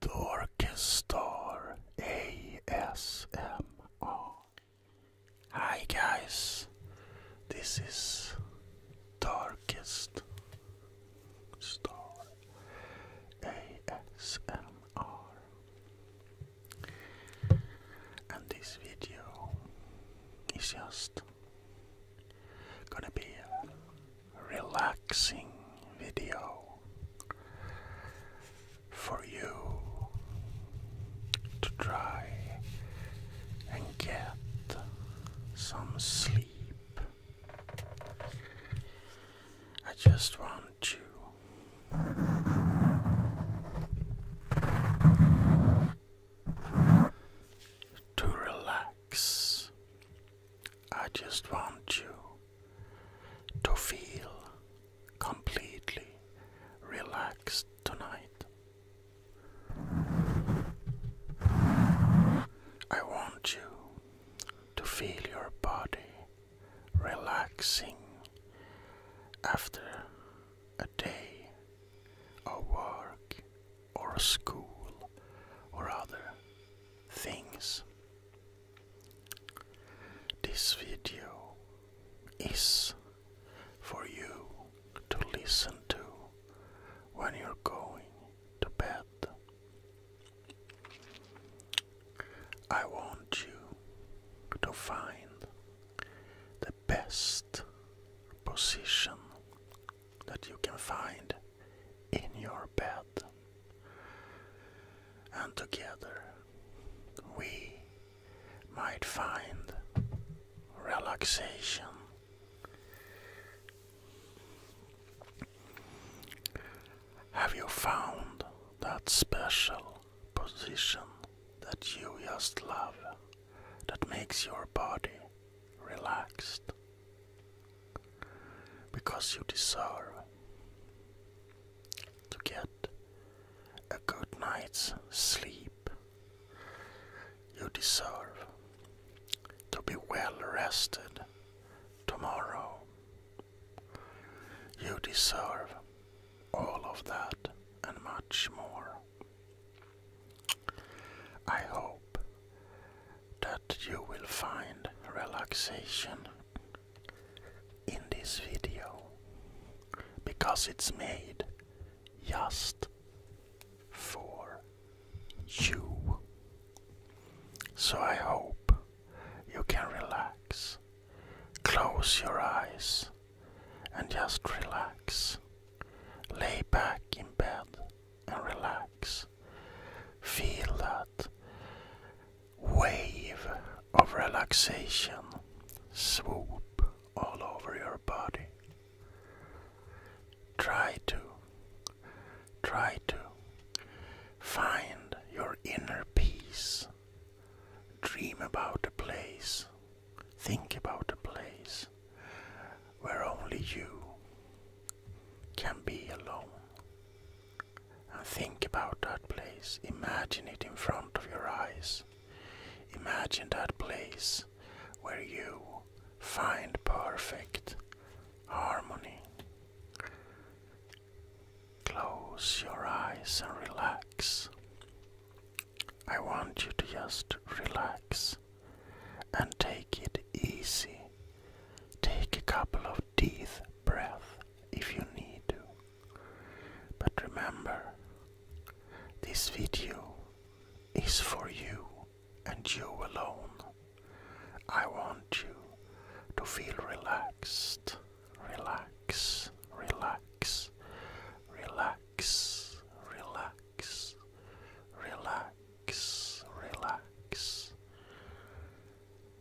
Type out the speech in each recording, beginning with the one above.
Darkest Star ASMR. Hi guys, this is Darkest Star ASMR, and this video is just gonna be relaxing video for you to try and get some sleep. I just want you to relax I just want you to feel completely relaxed tonight. I want you to feel your body relaxing after a day of work or school or other things. This video is for you to listen to when you're going to bed. I want you to find the best position that you can find in your bed. And together we might find relaxation. Have you found that special position that you just love that makes your body relaxed? Because you deserve to get a good night's sleep. You deserve to be well rested tomorrow. You deserve all of that and much more. I hope that you will find relaxation in this video because it's made just for you. So I hope you can relax, close your eyes, and just relax. Lay back in bed and relax. Feel that wave of relaxation swoop all over your body. Try to, try to find your inner peace. Dream about a place. Think about a place where only you can be alone. And think about that place. Imagine it in front of your eyes. Imagine that place where you find perfect harmony. Close your eyes and relax. I want you to just relax and take it easy. Take a couple of deep breaths if you need to. But remember, this video is for you and you alone. I want you to feel relaxed, relax, relax, relax, relax relax, relax, relax.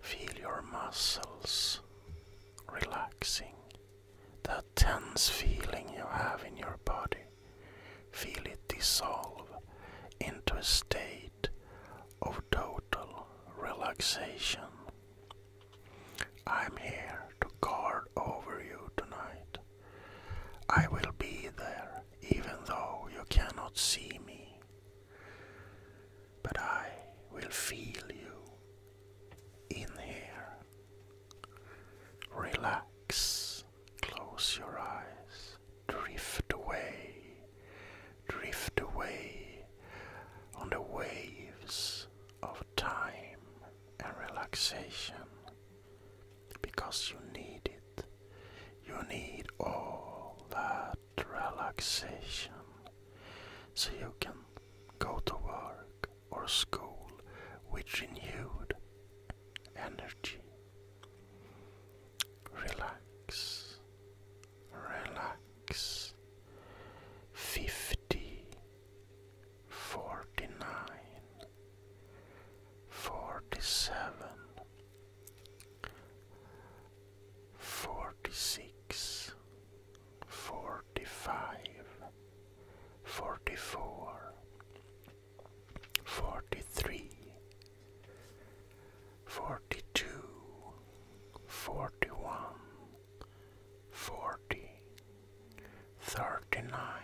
Feel your muscles relaxing. That tense feeling you have in your body. Feel it dissolve into a state of total relaxation. I'm here to guard over you tonight. I will be there, even though you cannot see me. But I will feel you in here. Relax, close your eyes, drift away, drift away on the waves of time and relaxation because you need it. You need all that relaxation so you can go to work or school with renewed energy. Relax, relax. Fifty, forty nine, forty-seven, forty-six, forty-five, forty-four, forty-three, forty-two, forty-one, forty, thirty-nine.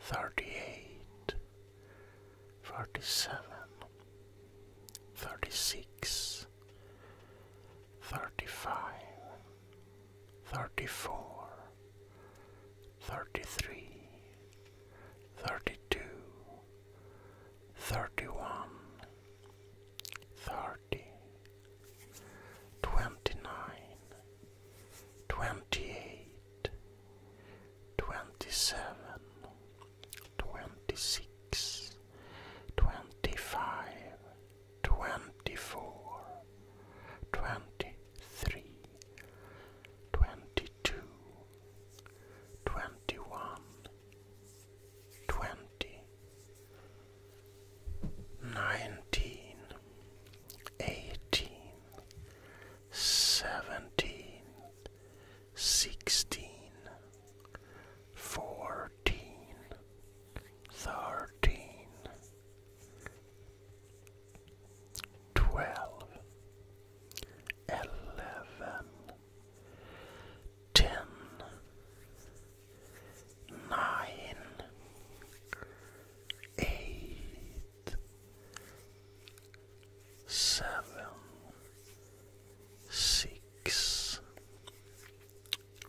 38 37 36 35 34 33 32 31 30 29 twenty-eight, twenty-seven, twenty-six, twenty-five, twenty-four, twenty-three, twenty-two, twenty-one, twenty, nineteen eighteen, seventeen, sixteen, fourteen, thirteen, twelve, eleven, ten, nine eight, seven, six,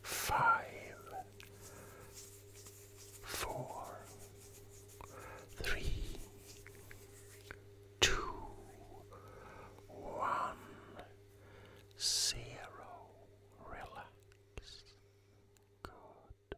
five, four, three, two, one, zero. Relax. Good.